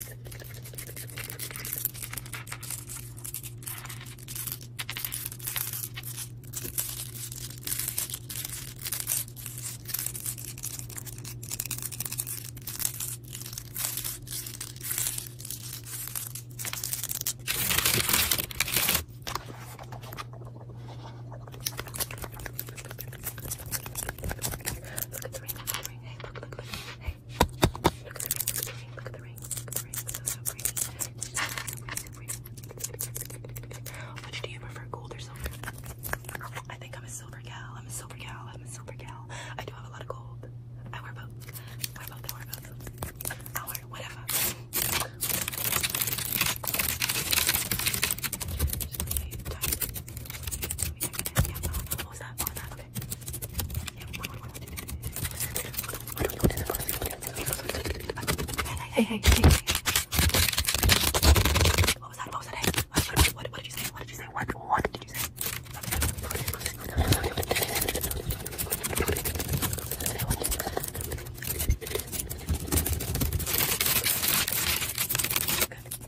Look at the ring, Hey, look, look, look. Hey, Look at the rings. Look at the rings. Look at the rings. So, so pretty. So, so pretty. So pretty. Which do you prefer, gold or silver? I think I'm a silver gal. I'm a silver gal. I'm a silver gal. I do have a lot of gold. I wear both. I wear both. I wear both. I wear whatever. Just really tight. Let me check it in. Yeah. What was that? What was that? Hey, hey, hey, hey. What was that? What was that? Hey, what, what, what did you say? What did you say? What, what did you say? Good. Oh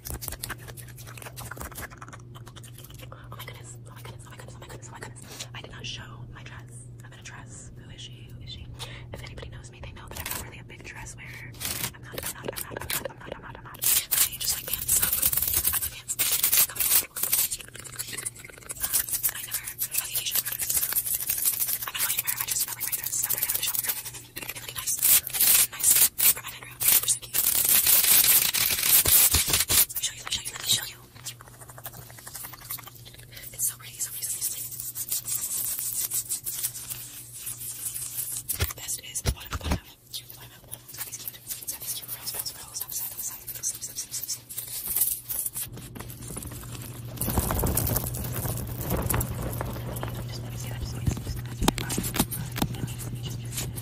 my goodness, oh my goodness, oh my goodness, oh my goodness, oh my goodness. I did not show my dress. I'm in a dress. Who is she? Who is she? If anybody knows me, they know that I'm not really a big dress wearer. I'm not, I'm not, I'm not, I'm not, I'm not, I'm not, I'm not. I just like pants. I like pants. Um, I never have the occasion to wear dresses. I'm not going anywhere. I just really wear dresses. I'm going to show. Really nice. Nice. Provided background. Super so cute. Let me show you, let me show you, let me show you. It's so pretty, so pretty, so pretty. The best is the bottom, the bottom. Cute, the bottom, the bottom. It's got these cute, it's got these cute frills, frills, frills. Top side, top side, slip, slip, slip, slip, slip. Just let me see that, just let me see that. Just let me see that. Just let me see that. Just let me see that.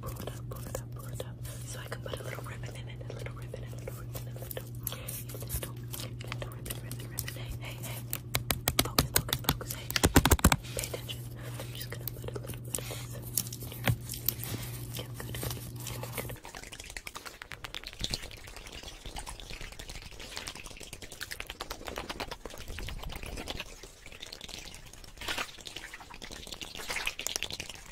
pull it up, pull it up, pull it up. So I can put a little ribbon in it, a little ribbon, a little ribbon, a little, a little, little ribbon, ribbon, ribbon. Hey, hey, hey. Focus, focus, focus. Hey, pay attention. I'm just gonna put a little bit of this in here. Get good, good, good, good. Good,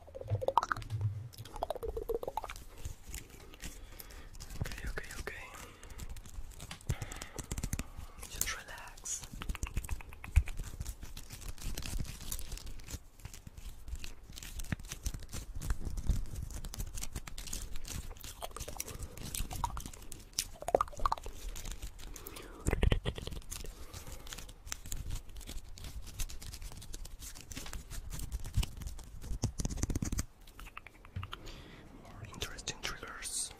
Okay, okay, okay. Just relax. More interesting triggers.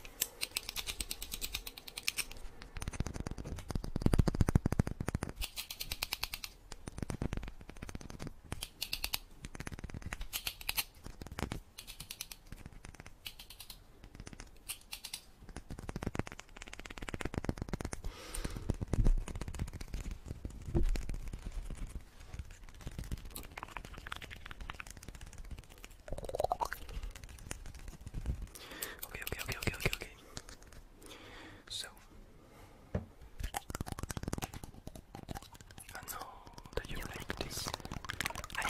Okay, okay, okay, okay, okay, okay. So I know that you like this. I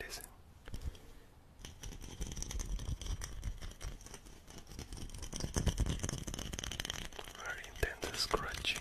Listen. Very intense scratching.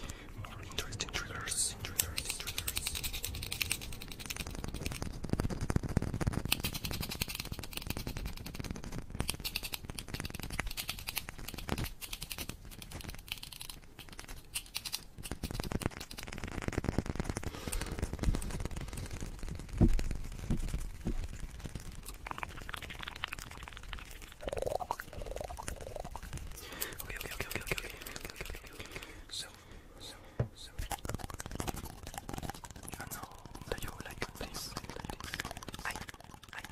More interesting triggers, triggers, triggers. Okay, okay, okay, okay, okay, okay, okay, okay, okay, okay. So, so, so. I know that you like this. I, I,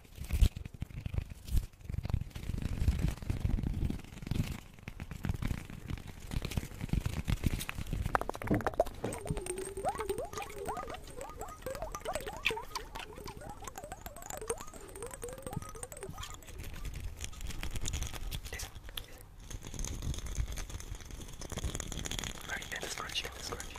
Listen. Very dense scratching, scratching.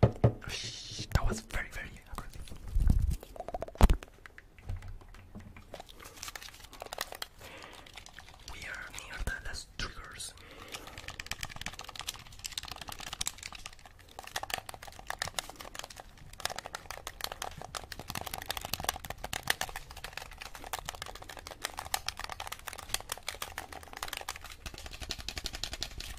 That was very, very aggressive. We are near the last triggers.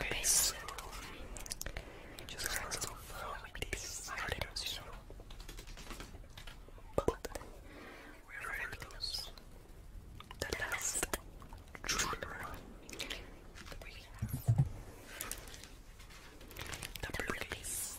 Okay, so just let's go with this direction. But we're very close. The last trigger the burgundies.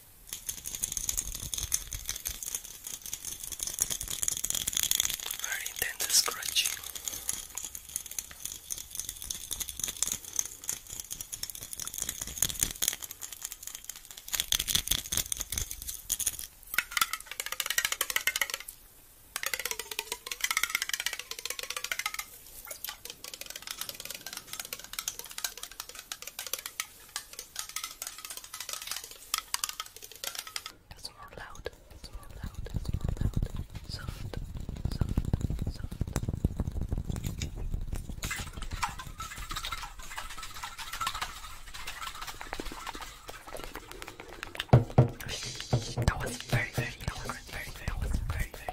Very intense scratching. That's more loud. That's more loud. That's more loud. Soft. Soft. Soft. That was very, very, that was very, very, that was very, very.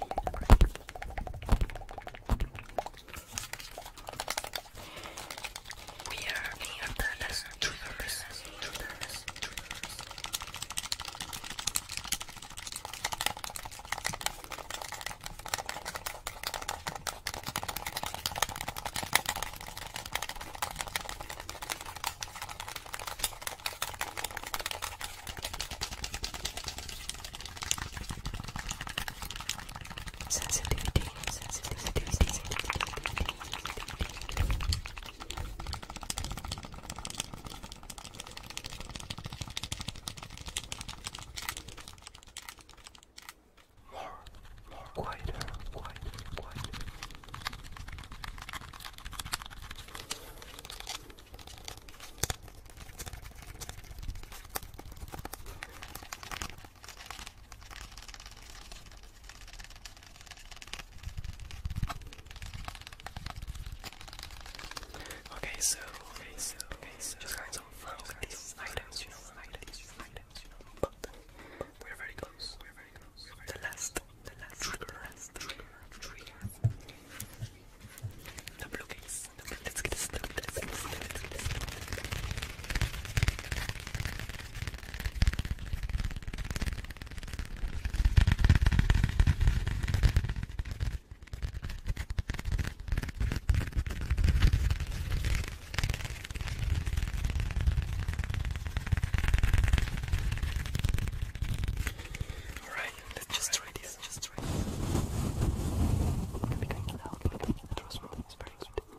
We are near the last triggers. triggers, triggers sensitivity, sensitivity, sensitivity. More, more quieter, quieter, quieter. Okay, so, okay, so, okay, so, just got of fun items, you know, items, you know, but we're very close, the last, the last trigger, last trigger, The blue the blue, let let's get this, let all right, let's just try this. Just try this. Because now, because the trust is very good.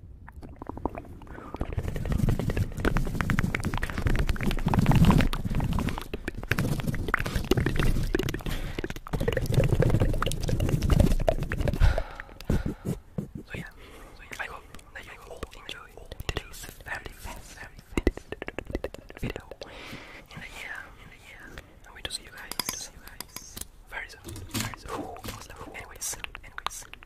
So yeah, so yeah, I hope that you all enjoyed today's very fast, very fast video. In the year, in the year, I'm going to see you guys, to see you guys very soon, very soon. Anyways, anyways.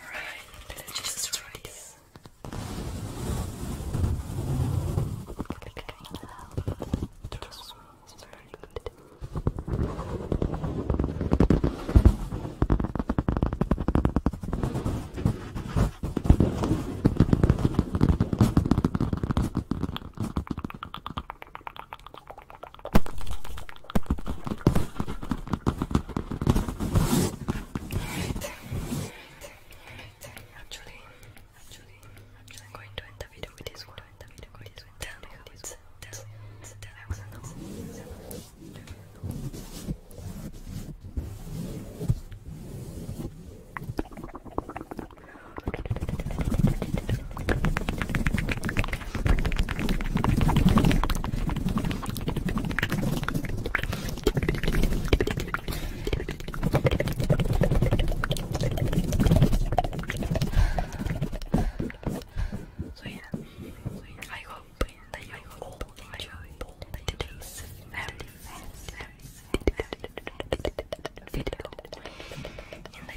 Alright, Jesus Christ. That smells very good. Actually, actually, actually, I'm going to end the video with this one. End the video with this one. Tell me how it's. Tell me. Tell me. I wanna know. So yeah, so yeah, I hope that you all enjoyed today's very fast, very fast video. And I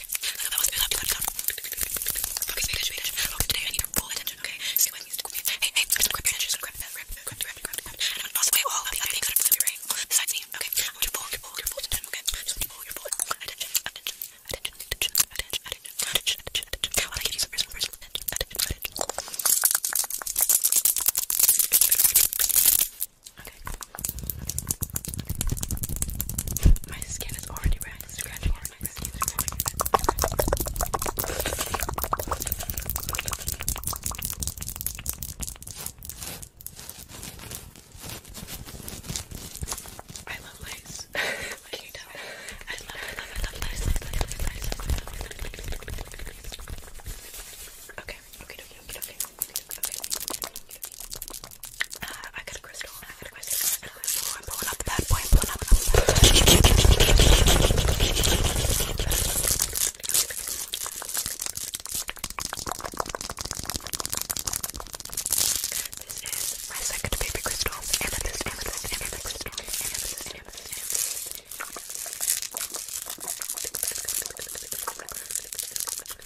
Okay, pay attention, pay attention. Okay, today I need your full attention, okay? See what needs to be. Hey, hey, just grab your attention, just grab that, grab, grab, grab, grab, grab. And I'm toss away all of the other things that are from your brain. Besides me, okay? I want your full, your full, your full attention, okay? Just full, your full attention, attention, attention, attention, attention, attention, attention, attention, attention. While I give you some personal, personal attention, attention, attention. Okay. My skin is already red. Scratching on my skin. I love lace. okay, okay, okay, okay. Uh, I got a crystal. I got a crystal. I got a crystal. I'm pulling up the bad boy. I'm pulling up the bad boy. This is my second baby crystal. Amethyst, amethyst, amethyst crystal. Amethyst, amethyst, amethyst.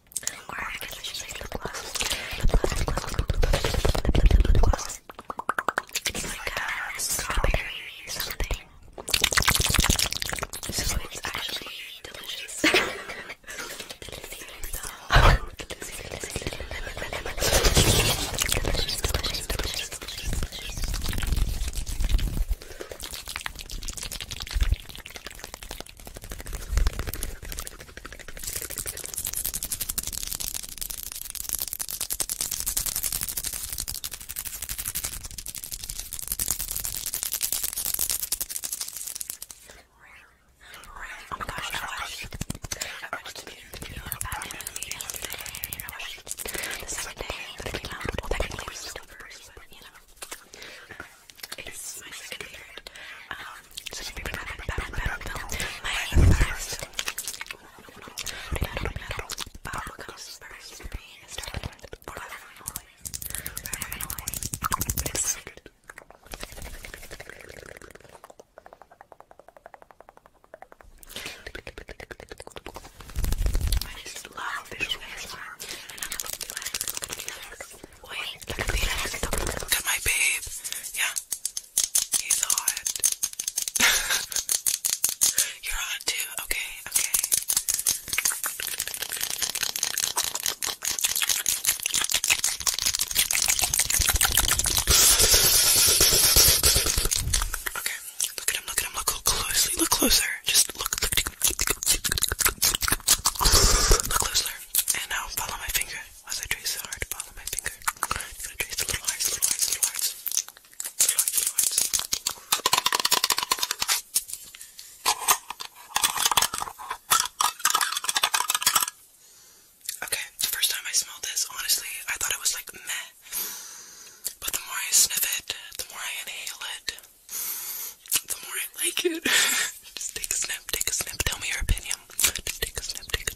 Or I guess I should say lip gloss. Lip gloss, lip gloss, lip gloss, lip, lip, lip, lip gloss. It's like a strawberry something. So it's actually delicious. delicious, delicious, delicious, delicious. Oh my gosh, I watched I watched the video of Batman movie yesterday. I watched the second day that it came out. Well, technically it was still first, but you know is my second favorite. Um, so my first. Bubble comes first for me. It's forever and always. Forever and always. It's so good. I just love visual ASMR, and I love the last Wait, look at me, look at my babe. Yeah, he's hot. You're hot too. Okay, okay. Okay, look at him, look at him, look closely, look closer. Just look, look, look, look closer. And now follow my finger. As I trace the heart, follow my finger. i to trace the little hearts. Little hearts, little hearts. Okay, the first time I smelled this, honestly, I thought it was like meh. But the more I sniff it, the more I inhale it, the more I like it. Just take a snap, take a snap, tell me your opinion. take a snap, take a,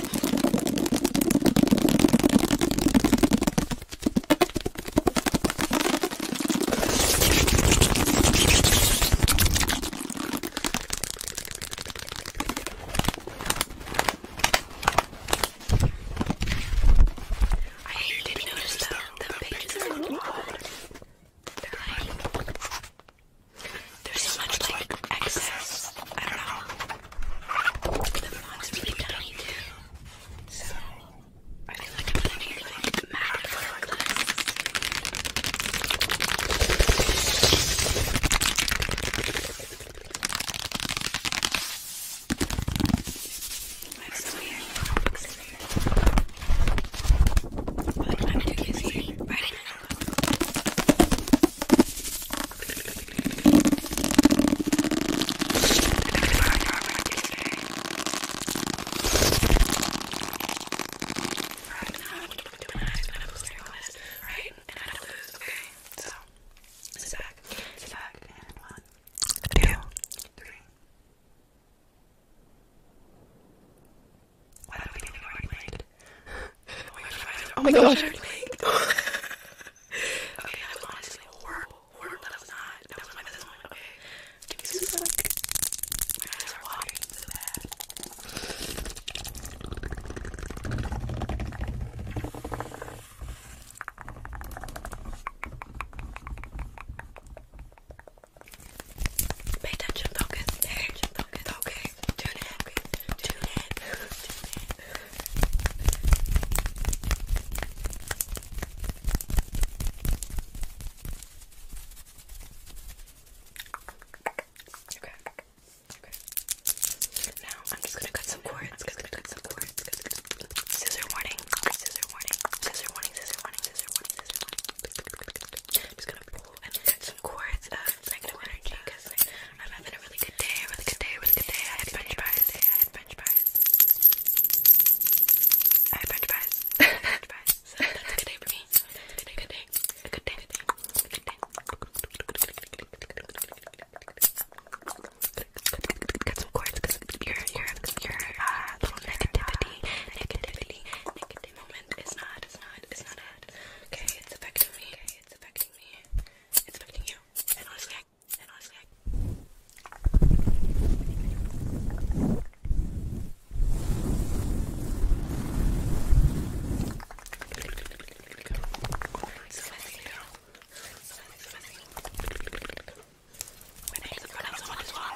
I hate did notice though the pages are looking old. They're like there's so much like excess. I don't know. The fog's really tiny too. So I feel like I'm gonna need like matte hourglass. I have so many products in here. But I'm too busy writing a notebook right? And I don't lose, okay? So, sit back, sit back, and one, two, three. Why don't we think I'm already late? Oh my gosh, I'm already late okay, that was honestly horrible. Horrible. That was not. That was my best moment. Okay. Give me some milk. My eyes are watering so bad. Pay attention, focus, pay attention, focus, okay, tune in, okay, tune in, tune in, Okay. Okay. Now I'm just gonna cut some cords. Cut, cut, cut some cords. Cut, cut, cut. Scissor warning. Scissor warning. Scissor warning. Scissor warning. Scissor warning. Scissor warning. I'm just gonna pull and cut some cords of negative energy because I'm having really good day, really good day, really good day. I had French fries. I had French fries. I had French fries. French good day for me. A good day, good day, good day, good day. Got some cords because your your your uh, little negativity, negativity, negative moment is not, it's not, it's not it. Okay, it's affecting me. Okay, it's affecting me. It's affecting you. And honestly, and I was like my name's a pronounced one as well.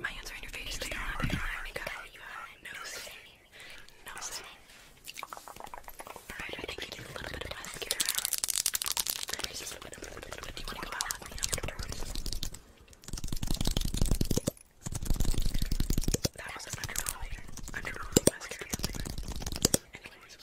My hands are in your face. They are. They are. You got it. You got it. No sin. No sin. Alright, I think you need a little bit of mascara. Just a little bit, a little bit, a little bit. Do you want to go out with me afterwards? That was an underwhelming, underwhelming mascara. Anyways,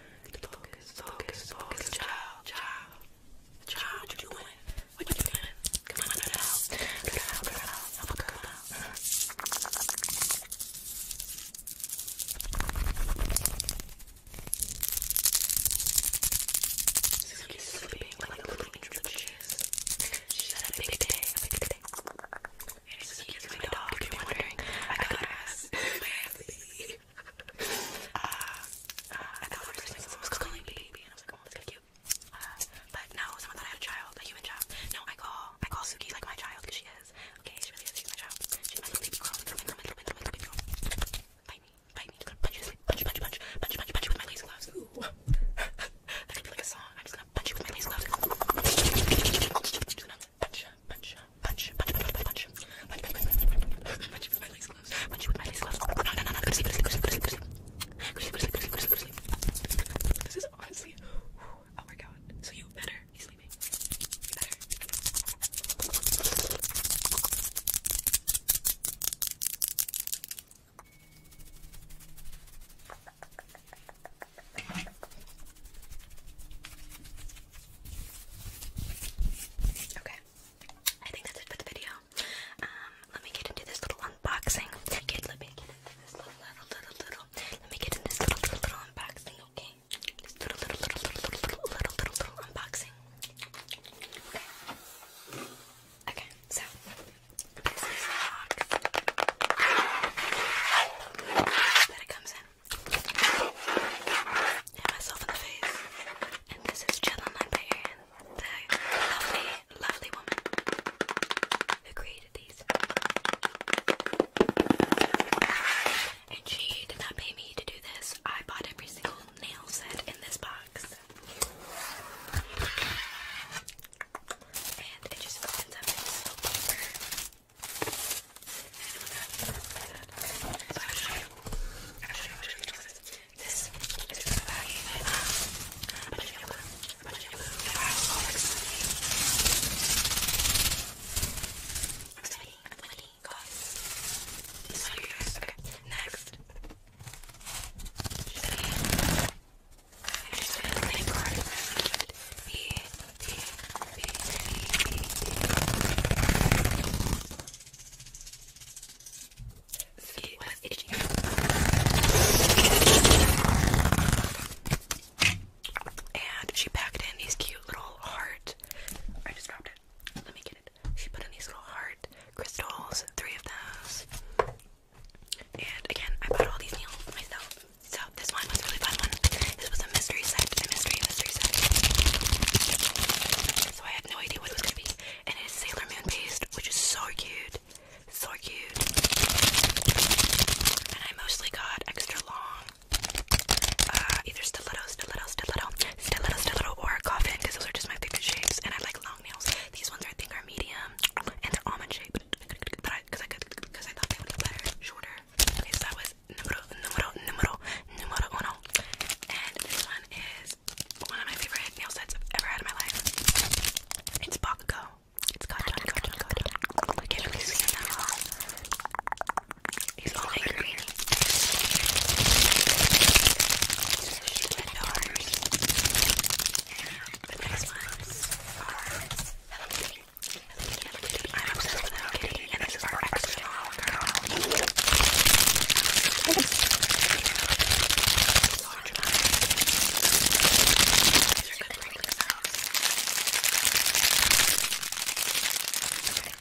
Focus, focus, focus, child, child, child, what you doing? What you doing? Come on, girl, girl, girl, I'm a girl. She's sleeping like a little angel She's had a big day, a big day. And she's using my dog, if you're wondering. I got her baby. I thought the first thing someone calling baby, and I was like, oh, that's kind of cute. but no, someone thought I had a child, a human child. No, I call, I call Suki like my child, because she is okay, she really does my job. She's my baby girl, my girl, my girl, my girl, my little baby girl. Bite me, bite me, punch you, punch, punch, punch, punch, punch, punch you with my lace gloves. Ooh. that could be like a song. I'm just gonna punch you with my lace gloves. Just gonna punch, punch, punch, punch, punch, punch, punch, punch, punch, punch, punch you with my lace gloves. Punch you with my lace gloves. No, no, no, no, go to sleep, go to sleep, go to sleep, go to sleep. Go to sleep, go to sleep, go to sleep, go to sleep. This is honestly, oh my god. So you better Okay. I think that's it for the video. Um, let me get into this little unboxing. Get, let me get into this little, little, little, Let me get into this little, little unboxing, okay? little, little, little, little, little, little, little, little unboxing. Okay. so this is the box that it comes in. Hit myself in the face. And this is Jenna Librarian, the lovely, lovely woman who created these and she did not pay me to do this. I bought every single nail set in this box. And it just opens up in this little paper. So I'll show you. I'll show you. I'll show you. This is just about you. I'm gonna show you. I'm gonna show you. I'm gonna show you. I'm gonna show you. I'm gonna show you. I'm gonna show you. I'm gonna show you. I'm gonna show you. I'm gonna show you. I'm gonna show you. I'm gonna show you. I'm gonna show you. I'm gonna show you. I'm gonna show you. I'm gonna show you. I'm next. I'm just going to clean card See what is And she packed in these cute little heart. I just dropped let me get it. She put in these little heart crystals, three of those. And again, I bought all these nails myself. So this one was really fun one. This was a mystery set, a mystery, mystery set. So I had no idea what it was gonna be. And it is Sailor Moon paste, which is so cute. So cute. And I mostly got extra long uh, either stiletto, stiletto, stiletto, stiletto, stiletto, or coffin, because those are just my favorite shapes, and I like long nails. These ones I think are medium, and they're almond shaped, but I, because I, because I thought they would look better, shorter. Okay, so that was numero, numero, numero, numero uno, and this one is one of my favorite nail sets I've ever had in my life. It's Bakugo. It's cotton, cotton, cotton. I can't really see it that well. He's all angry. The next ones are I'm obsessed with Hello Kitty, and this is our extra long girl. So These are good for themselves. Okay.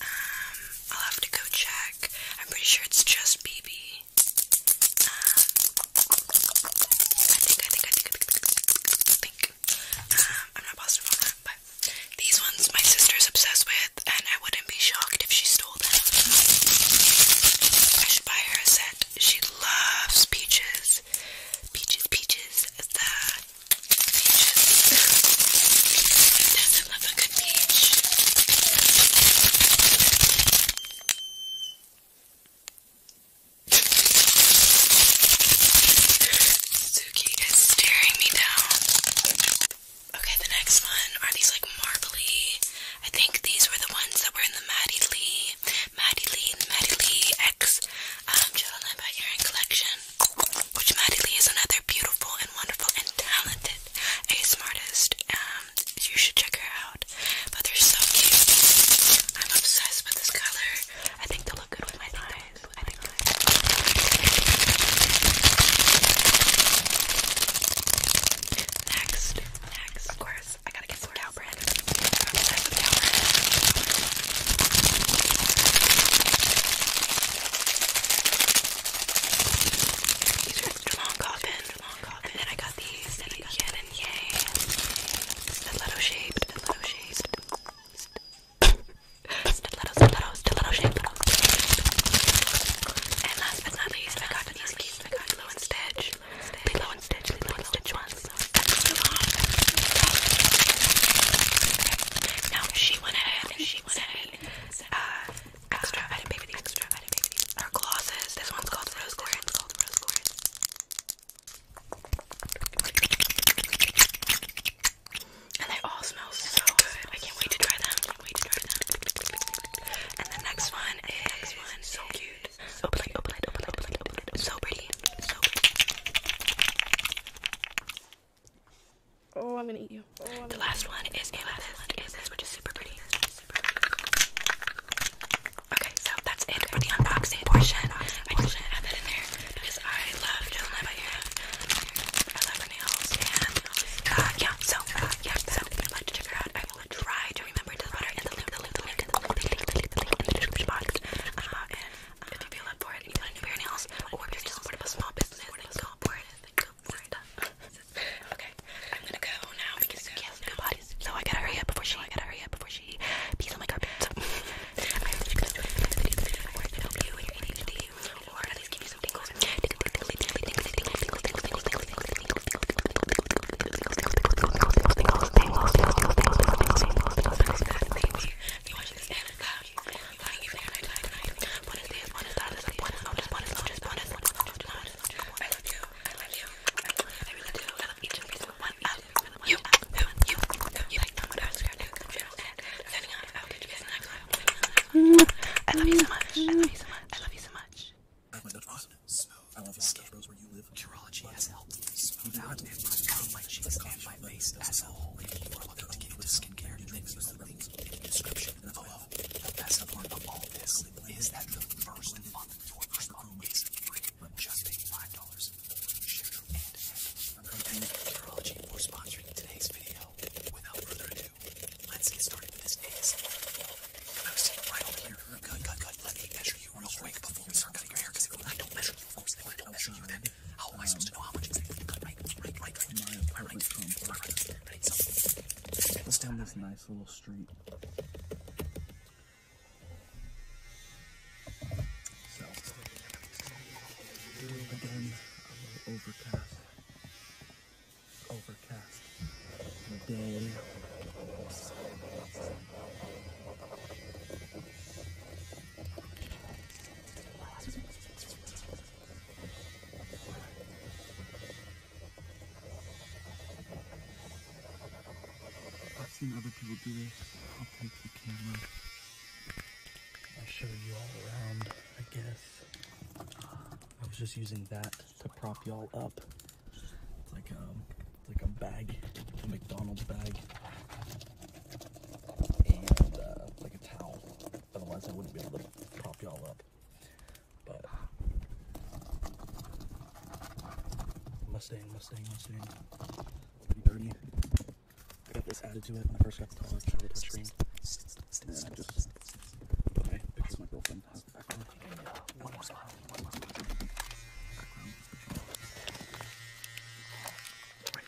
Um, I'll have to go check. I'm pretty sure it's just BB. I think, I think, I think, I think, I think. Um, I'm not positive on that, but these ones my sister's obsessed with, and I wouldn't be shocked if she stole them. I should buy her a set. She loves peaches. Peaches, peaches. The Peaches. doesn't love Suki is staring me down. Okay, the next one are these like marbly. I think these were the ones that were in the Maddie Lee, Maddie Lee, Maddie Lee X um, Jelena by Erin collection which Maddie is another beautiful and wonderful and talented ASMR artist. Um, you should check her out. But they're so cute. I'm obsessed with this color. I think they look good with my eyes. Next, next, of course, I gotta get some cow bread. These are Geelong Coffin. Geelong Coffin. And then I got these. Then I got Yin and Yang. Stiletto shaped. Stiletto shaped. stiletto, stiletto, stiletto shaped. And last but not least, I got these I got Lilo and Stitch. Lilo and Stitch. Lilo and Stitch ones. Now she went ahead she went ahead uh, extra, I didn't pay for Extra, I didn't pay for these. Our glosses. This one's called Rose Quartz. This one's called Rose Quartz. And they all smell so good. I can't wait to try them. can't wait to try them. And the next one is so cute. open it, open it, open it, open it, open it. So pretty. So Oh, I'm gonna eat you. the oh, last one is a lettuce, is this, which is super pretty. Okay, so that's it for the unboxing portion. I just should add that in there because I love Jolene by Erin. I love her nails, and uh, yeah, so, uh, yeah, so if you'd like to check her out, I will try to remember to put her in the link, the link, the link, the link, the link, the link in the description box. Uh, and if you feel up for it and you want to do your nails, or just support a small business, go for it. Then go for it. okay, I'm gonna go now because yes, no bodies. So I gotta hurry up before she. I gotta hurry up before she pees on my carpet. I'm just gonna do it to help you and your ADHD, or at least give you some tingles. Maybe you watch this and I love you so much. I love you so much. I love you so much. I love you so much. Smooth. I love the skin. Those where you live. Urology has helped me smooth out and my cheeks and my face as a whole. We're looking to get with skincare and things with the description in the best part of all this is that the first month your first month is free. Just pay five dollars. Share and Thank Futurology for sponsoring today's video. Without further ado, let's get started with this ASMR video. I was Good, good, good. Let me measure you real quick before we start cutting your hair, because I don't measure you, of course, I don't measure you, then how oh, am I supposed to know how much exactly to cut? Right, right, right, right. Am I right? Am I right? Right. So, let's down this nice little street. So, again, overcast. Overcast. Day. I've seen other people do this. I'll take the camera. I'll show you all around, I guess. I was just using that to prop y'all up. It's like um it's like a bag, a McDonald's bag. And uh, like a towel. Otherwise, I wouldn't be able to prop y'all up. But Mustang, Mustang, Mustang. Pretty dirty. I got this added to it when I first got the college. I did stream. And I just put my picture my girlfriend One more smile. One more smile.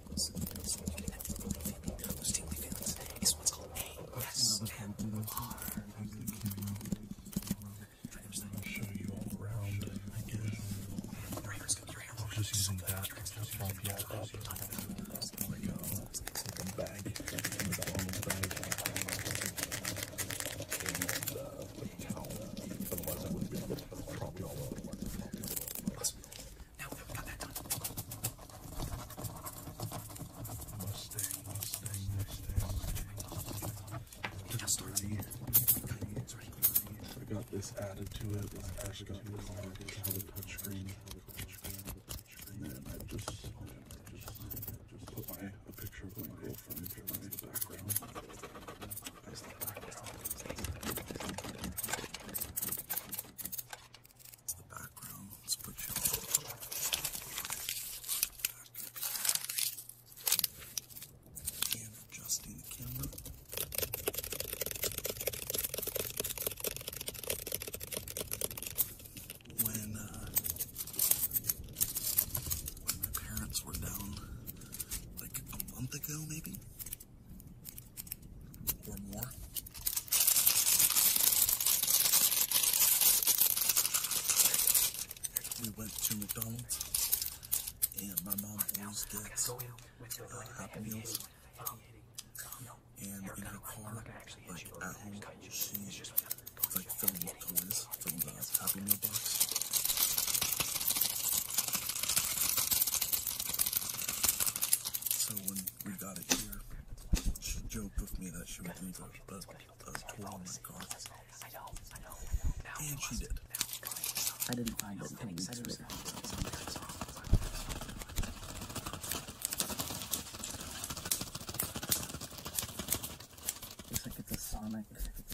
Tingles. Stimulating that tingly feeling, those tingly feelings, is what's called show you all around, I guess. I'm just using that to pump you all up. a Otherwise I would be able all up. Now we got that done. Mustang, Mustang, Mustang. Now start here. I got this added to it. I actually got the car. It's how the touchscreen. And then I just, I just, just put my a picture of my girlfriend in the background. As the background the background. Let's put you on back uh, adjusting the camera. when my parents were down like a month ago, maybe, one more. We went to McDonald's and my mom always gets uh, Happy Meals. Um, and in her car, like at home, she like filling up toys from the Happy Meal box. So when we got it here. She joked with me that she would leave a, a, a toy in my car. I know, I know, I And she did. I didn't find anything. Looks like it's a Sonic.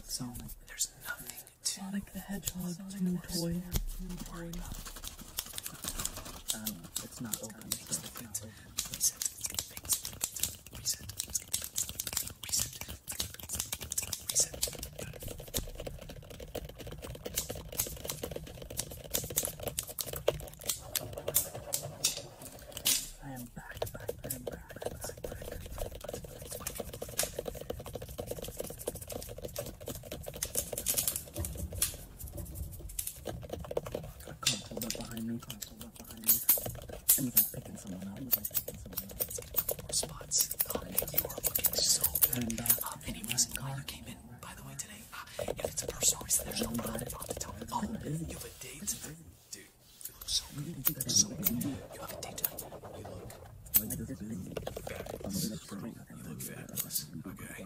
Sonic. There's nothing to Sonic the Hedgehog toy. I don't know. It's not open. So it's not open. Reset. Reset. Reset. Reset. I am back, back, I am back, back, back, back, back. Cops hold up behind me, cops hold up behind me. It was like picking someone up, it was like picking someone up. Four spots. Oh, you are looking so good. Uh, any reason caller came in, by the way, today, uh, if it's a personal reason, there's no problem about the time. Oh, you have a date? Dude, you look so good. You look so good. You have a date tonight. You look... Bad. You look fabulous. Okay.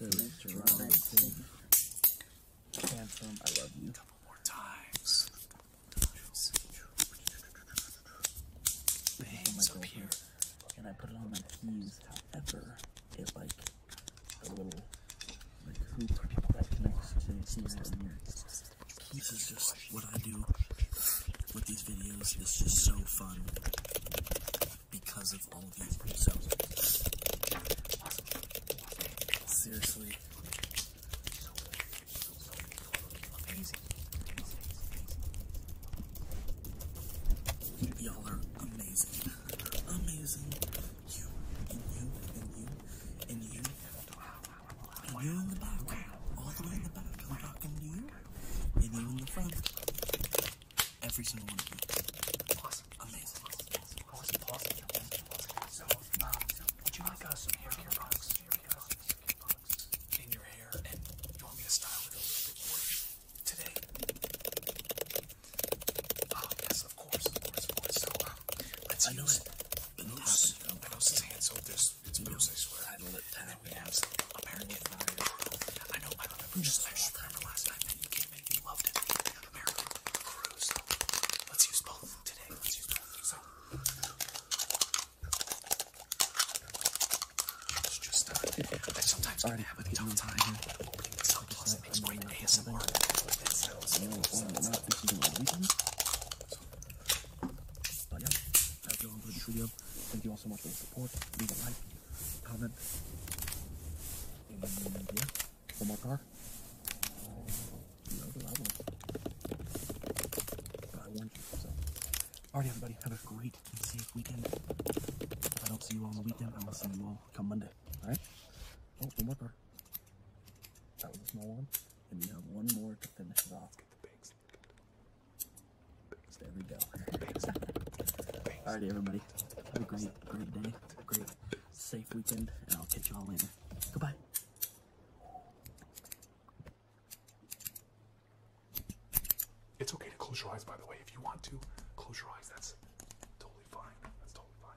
I love you. times. Bangs And I put it on my keys. However, it like a little like hoop that connects to the keys. This is just what I do with these videos. It's just so fun because of all these results. Seriously, Y'all are amazing. Amazing. You and you and you and you and you in the back. All the way in the back. i you. And you in the front. Every single one of you. Awesome. Amazing. Um, would you like uh, hair care products? In your hair, and you want me to style it a little bit more today? Ah, yes, of course, um, let's use know loose. I so this it's loose. I swear. I know I know. I remember. last time that you came in. You loved it. Let's use both today. Let's use both. So it's just uh, I sometimes can have a tough time opening this Thank you all so much for the support. Leave a like, comment, one more car. Load Alright, everybody. Have a great safe weekend. I don't see you all on the weekend, I am gonna see you all come Monday. Alright? Oh, one more car. That was a small one. And we have one more to finish it off. Get the pigs. Pigs. There we go. Pigs. Alrighty, everybody. Have a great a great day, a great safe weekend, and I'll catch y'all later. Goodbye. It's okay to close your eyes, by the way. If you want to, close your eyes. That's totally fine. That's totally fine.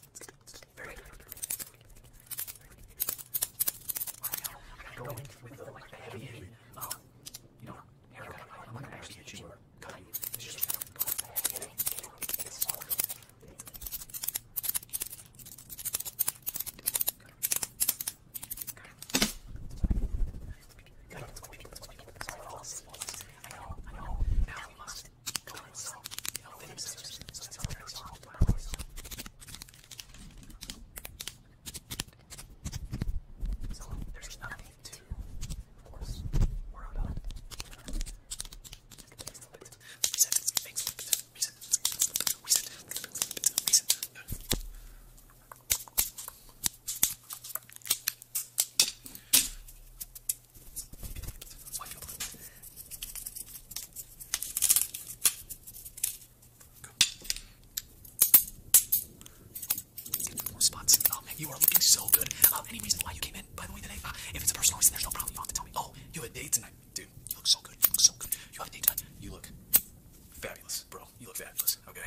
Very good. I'm not going with the, like, the heavy, heavy, um, you know, haircut. I'm not going to actually get you or cut you. It's just going with the heavy, heavy, it's hard. I know, I know. Now we must go and sell, you know, thin scissors. So it's not very soft, but I always so there's nothing to force or about. Reset, reset, reset, reset, reset. Why do you spots. Oh, you are looking so good. Uh, any reason why you came in, by the way, today? Uh, if it's a personal reason, there's no problem. You don't have to tell me. Oh, you have a date tonight, dude. You look so good. so good. You have a date tonight. You look fabulous, bro. You look fabulous. Okay.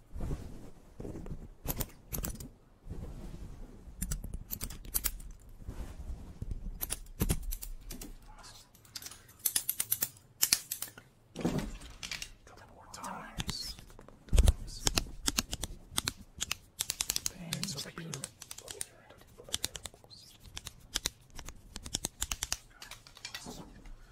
Couple more times. times. Thanks for being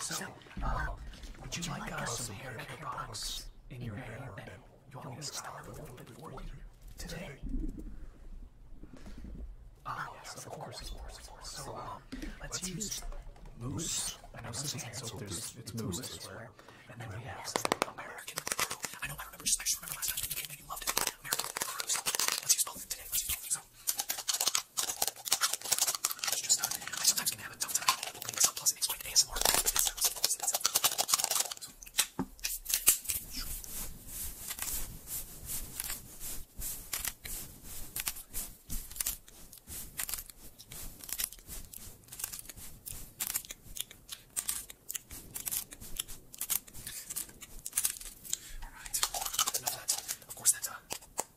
So, uh, uh, would you, would you like, like uh, uh some hair care products in your hair? you want to style a little bit for you today? Ah, ah, yes, of course, of course, So, um, um, let's, let's use moose. I know this is so there's it's moose elsewhere. And then we have American crew. I know I remember just last time you came in, you loved it. American crew. So let's use both today. Let's use both. So have a tough time holding this up, plus it makes great ASMR. It sounds close to itself. Alright, enough of that. Of course, that uh,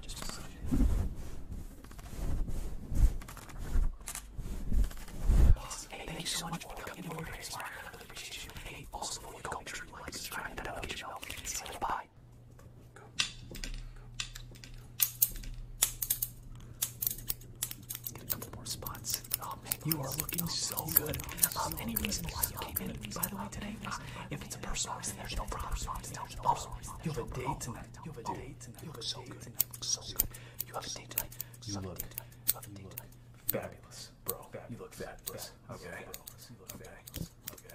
Just a second. hey, thank you so coming over here. Hey, also, before you go, make like, subscribe, that'll get you out. Bye. Get a couple more spots. Oh man, you are looking so good. Um, any reason why you came in, by the way, today? if it's a personal reason, there's no problem. Oh, you have a date tonight. You have a date tonight. You look so good. You look so good. You have a date tonight. You look. You have a date tonight. Fabulous, bro. You look fabulous. Okay. Okay. Okay.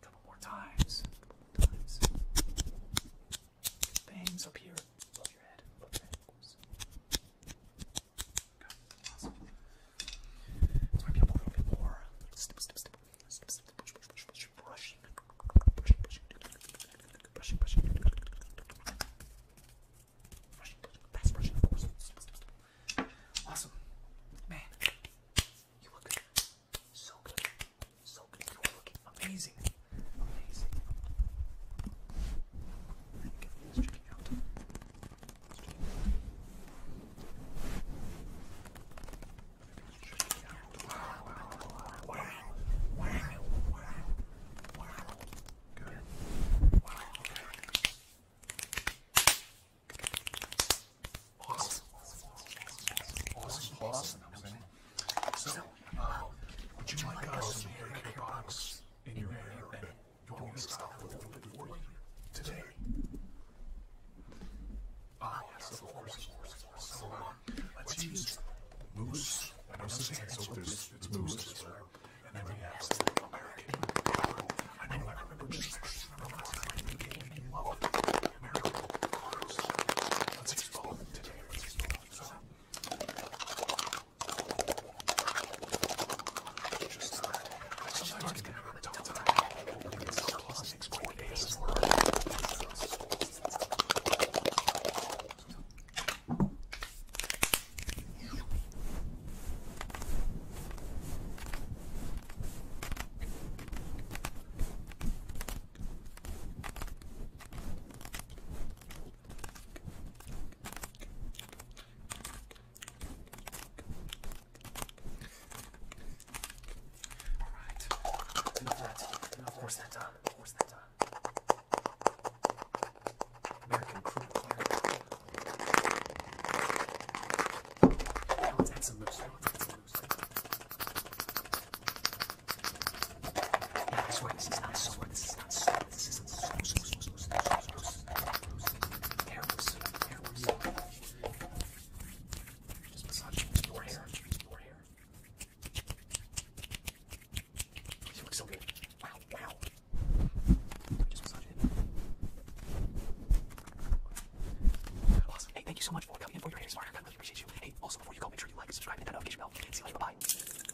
couple more times. Bangs up here. Above your head. Above brushing, brushing, brushing, brushing, brushing, brushing, brushing, that's brushing, of course. Awesome, man. You look good. So good. So good. You are looking amazing. Amazing. Let's check it out. Let's check it out. Check it out. Good. Okay. Awesome. Awesome. Awesome. So, uh, would you like us to make your box in your hair and you want me to stop a little bit for you today? Ah, yes, of course, of course. So, uh, Let's use moose. I know Suzanne's over there's moose as well. And then we have something American. I know, I remember just remember last time we came and you loved American cars. Let's use both today. Let's use both. So, just, uh, I sometimes get a tough time. It's plus 6.8 is worth. Alright. Enough of that. Enough. What's that done? What's that done? American crude oil. Now let's add some moose. Now let's add some moose. Now I swear this is not sore. This is not sore. This isn't sore. Hair loose. Hair loose. Just massaging your hair. Your hair. Wow, wow. Hey, thank you so much for coming in for your hair smart. I really appreciate you. Hey, also before you go, make sure you like, subscribe, and that notification bell. See you later. Bye.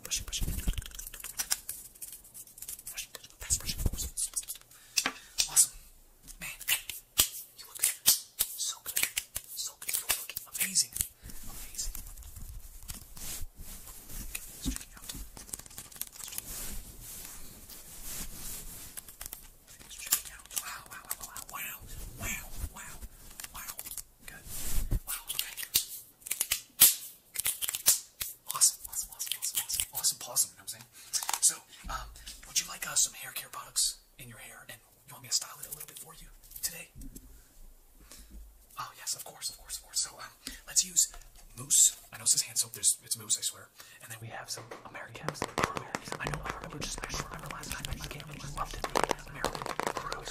Brush Awesome. Man, you look good. So good. So good. You look amazing amazing. Okay, let's check it out. Let's check it out. Wow, wow, wow, wow, wow, wow, wow, wow. Good. Wow, okay. Awesome, awesome, awesome, awesome, awesome, awesome, awesome, you know what I'm saying? So, um, would you like uh, some hair care products in your hair and you want me to style it a little bit for you today? Oh yes, of course, of course, of course. So let's use mousse. I know this is hand soap. There's it's mousse, I swear. And then we have some American brew. I know. I remember just. I just remember last time. I just can't. I just loved it. American brew.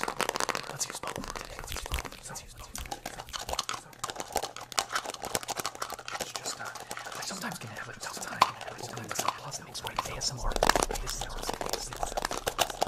let's use both Let's use both. Let's use both. sometimes can have a tough time opening makes great ASMR. ASMR. ASMR.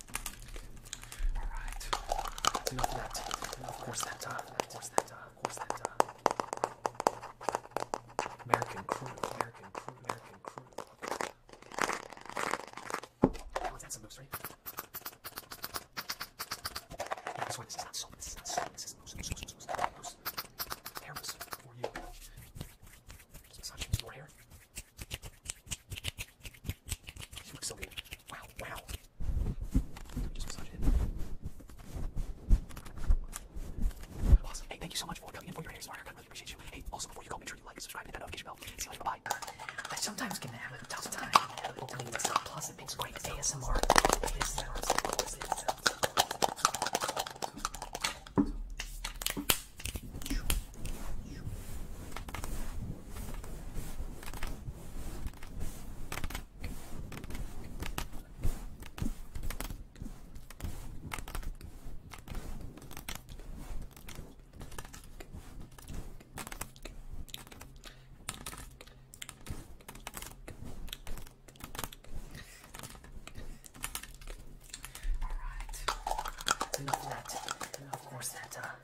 All right. That's enough of that. Enough course that time. Of course that time. Of course that time. American crew. American crew. American crew. Okay. Now let's add some moose, right? I swear this is not salt. This is not salt. This is moose. Moose. Moose. Moose. Moose. Hair moose for you. Just massaging your hair. You look so good. Wow. Wow. Hey, thank you so much for coming in for your hair smart haircut. Really appreciate you. Hey, also before you go, make sure you like, subscribe, hit that notification bell. See you later. Bye. I sometimes get have a tough time Plus, it makes great ASMR. All right. We that. And of course that uh,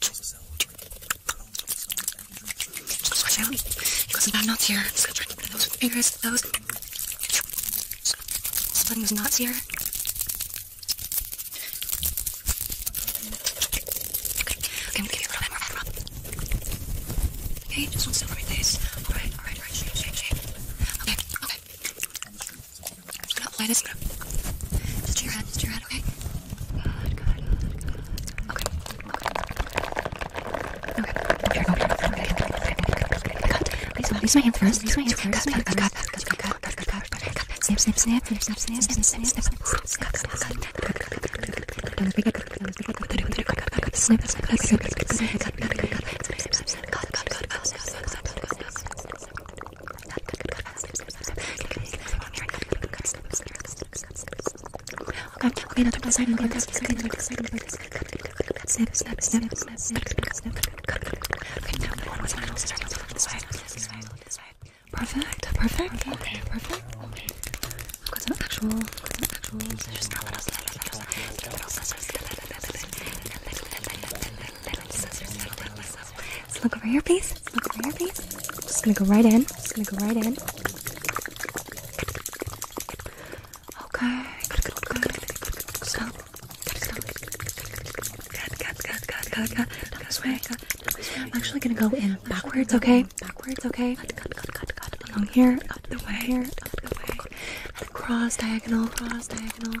Just out. He goes about nuts here. Just trying to those fingers, those. Splitting his nuts here. Okay, okay, I'm gonna give you a little bit more rub. Okay, just one silver face. Alright, alright, alright, shake, shake, shake. Okay, okay. I'm just gonna apply this. I'm gonna just to your head, just to your head, okay? Good, good, good, good. Okay, okay. Okay, okay, okay, okay, okay. Cut. Please, use my hand first. Use my hand first. Cut, cut, cut, cut, cut, cut, cut, cut, cut, cut. Snip, snip, snip, snip, snip, snip, snip, snip, snip, snip, snip, snip, snip, snip, snip, snip, snip, Okay, okay, now turn to the side and look at this side, look at this side, look at this side. Snip, snip, snip, snip, snip, snip. Okay, now one more time, I'll start to look this way, this way, this way. Perfect, perfect, okay, perfect, okay. I've got some actual, I've got some actual scissors now, but I'll snip, snip, snip, snip, little scissors, little scissors, little scissors. Let's look over here, please. Just look right at your face. I'm just gonna go right in. Just gonna go right in. Okay. Good, good, good, good, good. Stop. Good, stop. Good, good, good, good, good, good. Not this way. I'm actually gonna go in backwards, okay? Backwards, okay? Good, good, good, good, good. Along here, up the way, up the way, and across diagonal, across diagonal.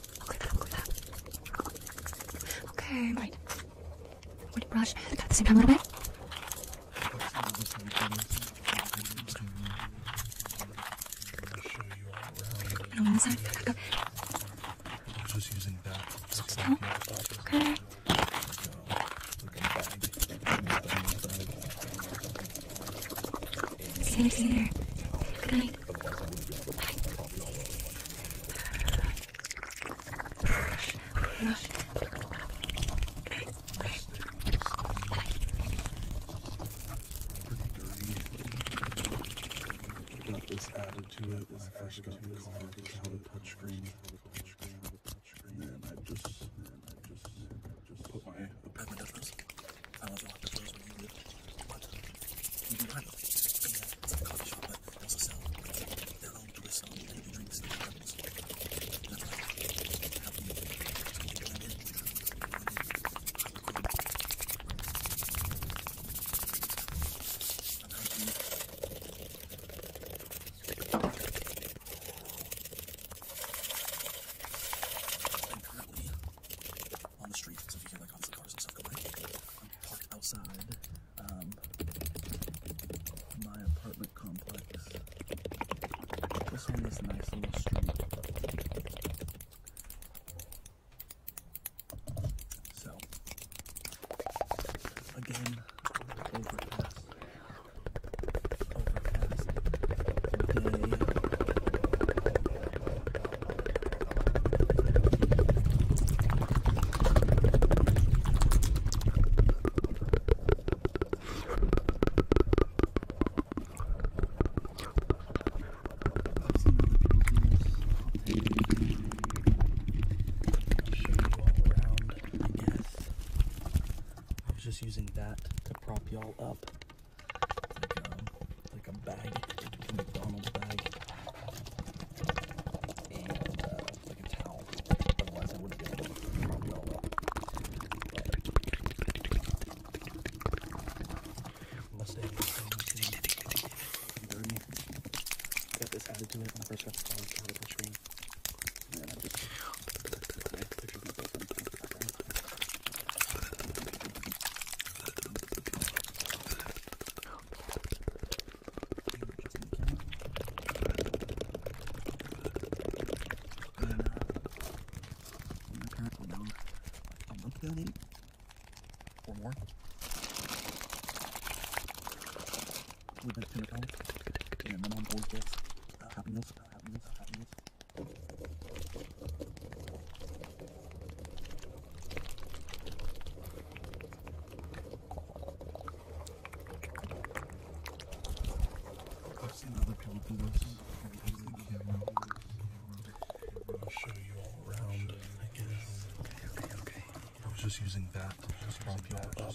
I'll clear that, I'll clear that. Okay, right. I'm going to brush at the same time a little bit. And on this side, back up. I'm just using that. Just okay. Stay, stay there. Good night to it when I first got the car, how to touch screen. And then I just, then I just, then I just put my opinion. I was on the first one you lived. But behind them, it's a coffee shop that does a sell their own twist on the drinks and animals. That's right. Have you blend in? Apparently, on the street. So if you get like on the cars and stuff going, I'm parked outside um, my apartment complex. This one is a nice little street. So again, overpass, overpass, day. I was just using that to prop y'all up. Like, um, like a bag, a McDonald's bag, and uh, like a towel. Otherwise, I wouldn't be able to prop it all up. Unless they dirty. Got this added to it when I first got the phone, got it on screen. And then I just my parents were down a month ago, maybe? Or more? We went to McDonald's. Yeah, my mom always gets uh, Happy Meals, uh, Happy Meals, Happy Meals. I've seen other people do this. I'll show you all around, I guess. Okay, okay, okay. I was just using that to just pump you all up.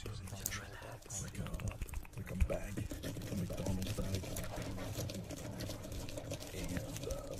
Like a, like a bag, like a McDonald's bag. And, uh,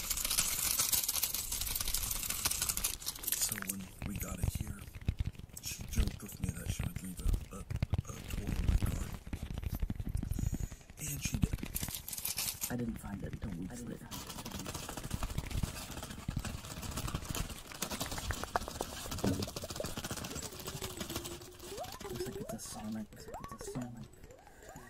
So when we got it here, she joked with me that she would leave a, a, a toy in my car. And she did. I didn't find it until weeks later. Looks like it's a Sonic. It's a Sonic.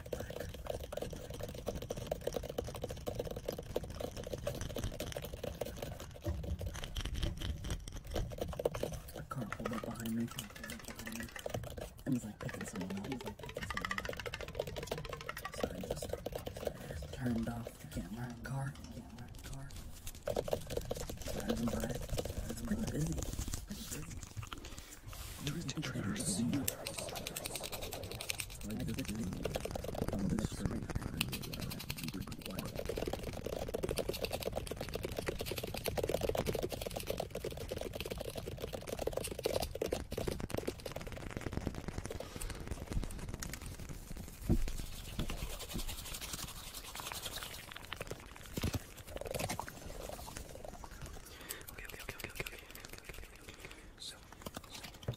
I can't hold it behind me. And he's like picking someone up. He's like picking someone up. So I just turned off the camera and car. Camera and car. Driving by. It's pretty busy. Pretty busy. Twisted trailers. Like this is on Okay,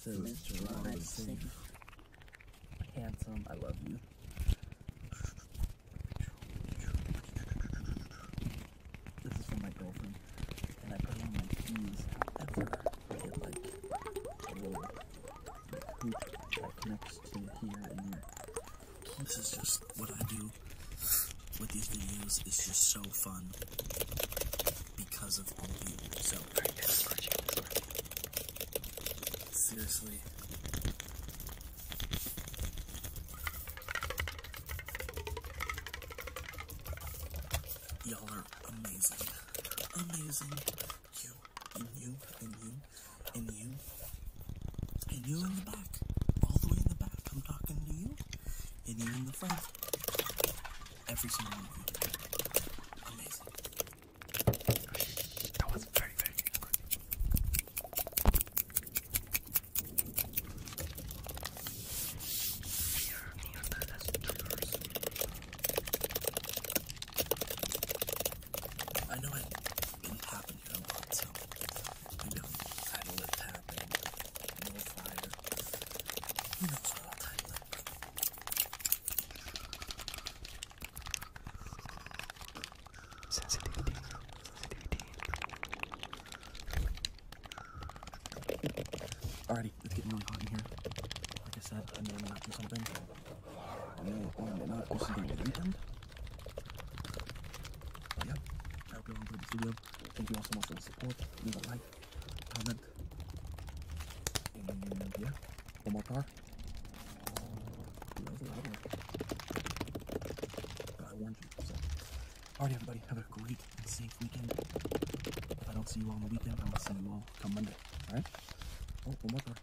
So Mr. handsome, I love you. This is from my girlfriend, and I put on my keys ever. like a little that connects to here and there. This is just what I do with these videos it's just so fun because of all of you. So seriously. Y'all are amazing. Amazing. You and you and you and you and you in the back. All the way in the back. I'm talking to you and even the front. Every single one of you. Amazing. That was very, very good. Here, near the last I know it didn't happen here a lot, so you know, idle it happen, no it's getting really hot in here. Like I said, I may or may not do something. I may or may not do something the weekend. yep, that'll be all for the video. Thank you all so much for the support. Leave a like, comment, and yeah, one more car. I warned you. So. Alright, everybody, have a great and safe weekend. If I don't see you all on the weekend, I will see you all come Monday. Alright? Oh, one more car.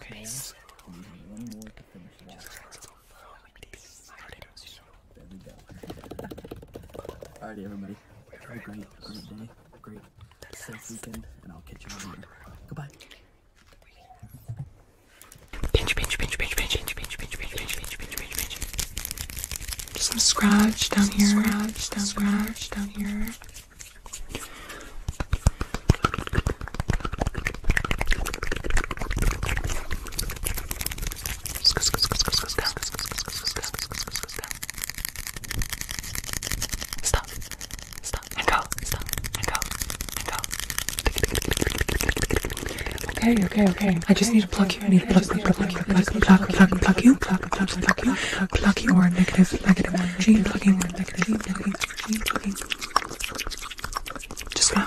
Okay. Alrighty, everybody. Have a great, great day, great safe weekend, and I'll catch you tomorrow. Goodbye. Pinch, pinch, pinch, pinch, pinch, pinch, pinch, pinch, pinch, pinch, pinch, pinch, Just some scratch down here. scratch down here. Stop. Stop and go. Stop and go and go. Okay, okay, okay. I just need to pluck you. I need to pluck, pluck, pluck, pluck, pluck, pluck, pluck, pluck you, pluck, pluck, pluck you, pluck you or negative, negative energy, plucking or negative, negative energy, plucking. Just go.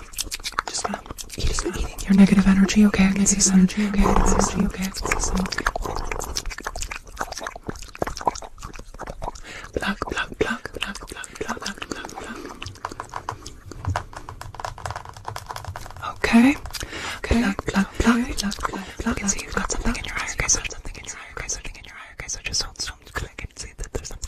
Just go eating, eating your negative energy, okay? I can see some energy, okay? I can see some, okay? I can see some. Plug, plug, plug, plug, plug, plug, plug, plug, plug. Okay. Okay. Plug, plug, plug, plug, plug, plug. I can see you've got something in your eye, okay? So something in your eye, okay? Something in your eye, okay? So just hold still because I can see that there's something.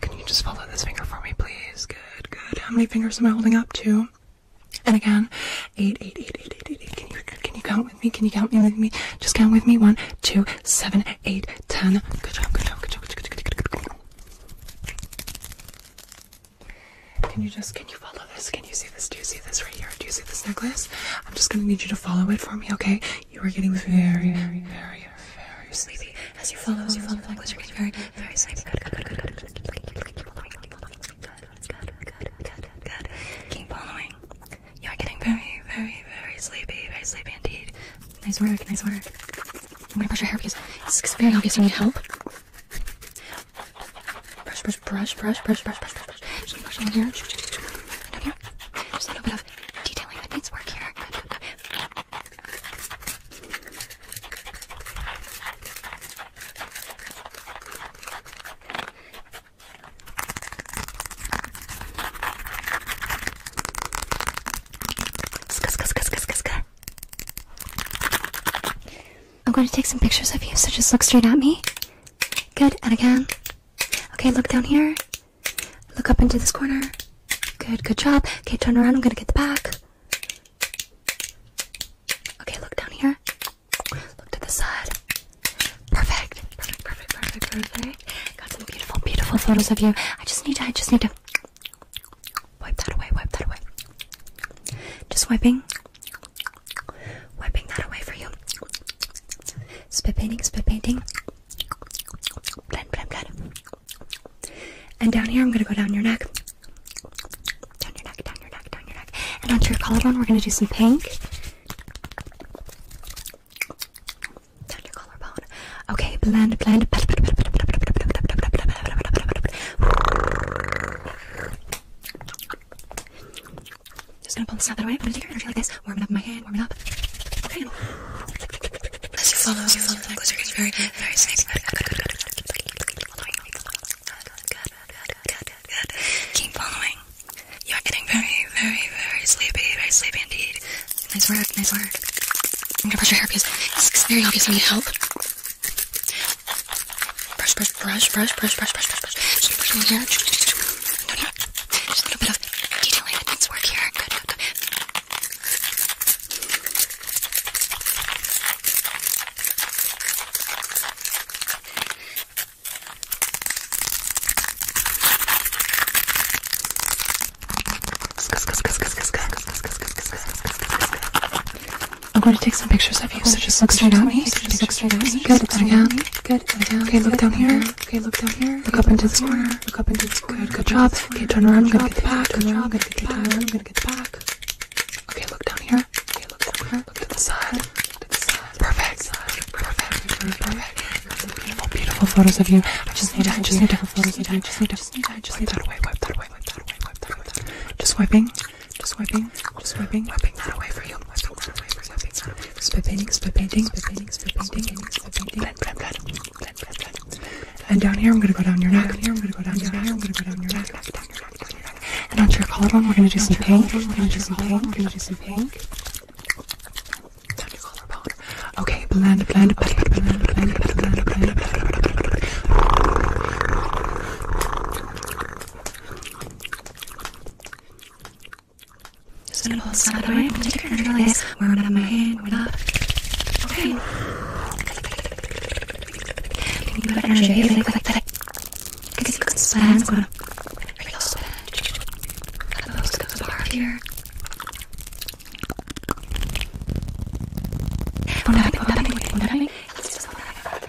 Can you just follow this finger for me, please? Good, good. How many fingers am I holding up? Two. And again, eight, eight, eight, eight, eight, eight, eight. Can you can you count with me? Can you count me with me? Just count with me. One, two, seven, eight, ten. Good job, good job, good job, good job, good job, good job. Can you just can you follow this? Can you see this? Do you see this right here? Do you see this necklace? I'm just gonna need you to follow it for me, okay? You are getting very, very, very, very sleepy. As you fall, as you fall, fall closer, you're getting very, very sleepy. Good, good, good, good, good. Keep following, keep following, keep following. Good, good, good, good, good. Keep following. You are getting very, very, very sleepy. Very sleepy indeed. Nice work, nice work. I'm gonna brush your hair because it's very obvious you need help. Brush, brush, brush, brush, brush, brush, brush, brush, brush. Just brush on here. Down here. Just a little bit of detailing how things work here. Good, I'm going to take some pictures of you, so just look straight at me. Good, and again. Okay, look down here. Look up into this corner. Good, good job. Okay, turn around. I'm gonna get the back. Okay, look down here. Look to the side. Perfect. Perfect, perfect, perfect, perfect. Got some beautiful, beautiful photos of you. I just need to, I just need to wipe that away, wipe that away. Just wiping. Wiping that away for you. Spit painting, spit painting blend, blend, blend. And down here, I'm gonna go down your neck, down your neck, down your neck, down your neck, and onto your collarbone. We're gonna do some pink. Down your collarbone. Okay, blend, blend. Just gonna pull this out that way. I'm gonna take energy like this. Warm it up in my hand. Warm it up. Okay. As you closer, very, very safe. Keep following. You are getting very, very, very sleepy. Very sleepy indeed. Nice work. Nice work. I'm gonna brush your hair because it's very obvious I need help. Brush, brush, brush, brush, brush, brush, brush, brush, brush. Just brush my hair. No, no, just a little bit of detailing that needs work here. Good, good, good. I'm going to take some pictures of you, so just look straight at me. Just look straight at me. Good, look down. Good, Okay, look down here. Okay, look down here. Look okay, up into this corner. corner. Look up into this corner. Good, good job. Okay, turn around. I'm gonna get the back. Turn around. I'm gonna get the back. I'm gonna get the back. Okay, look down here. Okay, look down here. Look to the side. Look to the side. Perfect. Perfect. Perfect. Beautiful, beautiful photos of you. I just need to. I just need to. Photos. I just need to. Just need to. Just need that away. Wipe that away. Wipe that away. Wipe that away. Just wiping. Just wiping. Just wiping. Wiping that away for you. Wiping that away for you. Wiping that away spray painting, spray painting, spray painting, spray painting, spray painting, blend, blend, blend, blend, blend, blend. And down here, I'm gonna go down your neck. Here, I'm gonna go down your neck. I'm gonna go down your neck. And onto your collarbone, we're gonna do some pink. We're gonna do some pink. We're gonna do some pink. Down your collarbone. Okay, blend, blend, blend, blend, blend, blend, blend, blend. Just gonna pull this out of the way. Take your energy release. Warm it up in my hand. Warm it up. Okay. Think about energy. Think like that. Because you can spend. Go to. Real spend. Let those go to the heart here. One tapping, one tapping, one tapping. Let's just one tapping.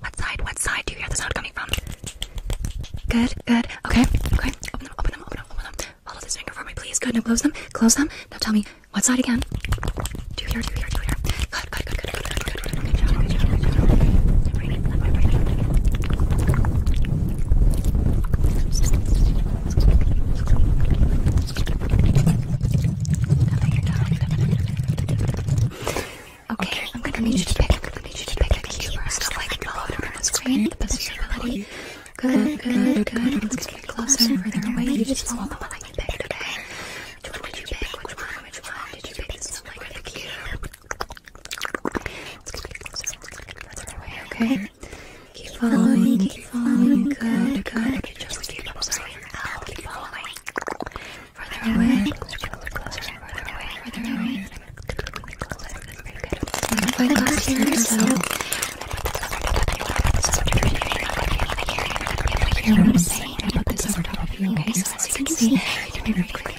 What side? What side do you hear the sound coming from? Good, good. Okay, okay. Open them, open them, open them, open them. Follow this finger for me, please. Good. Now close them, close them. Now tell me what side again. Do you hear? Do you hear? Do you hear? Good, good, good, good, Okay, okay, I'm gonna need you to pick. I'm gonna need you to pick a key first. I'll like follow it around the screen at the best of your ability. Good, good, good. Let's get it closer and further away. You just follow the one that you picked, okay? Which one did you pick? Which one? Which one did you pick? It's not like the key. Let's get it closer. Let's get it further away, okay? Keep following, keep following. Good, good. You just keep observing. I'll keep following further away, further closer, further away, further away. Very good. Close to yourself. Hear what I'm saying. I put this over top of you, okay? So as you can see, you can very quickly.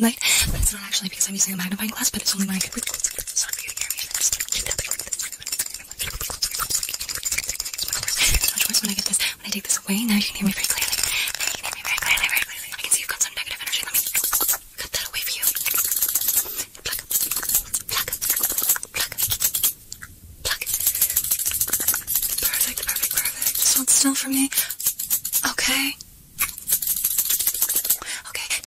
Light, but it's not actually because I'm using a magnifying glass, but it's only when I can read close. It's for you to hear me. just keep tapping like this. Much worse when I get this. When I take this away, now you can hear me very clearly. very clearly, very clearly. I can see you've negative energy. Let me cut that away for you. Pluck, pluck, pluck, pluck. Perfect, perfect, perfect. Just hold still for me. Okay. Okay.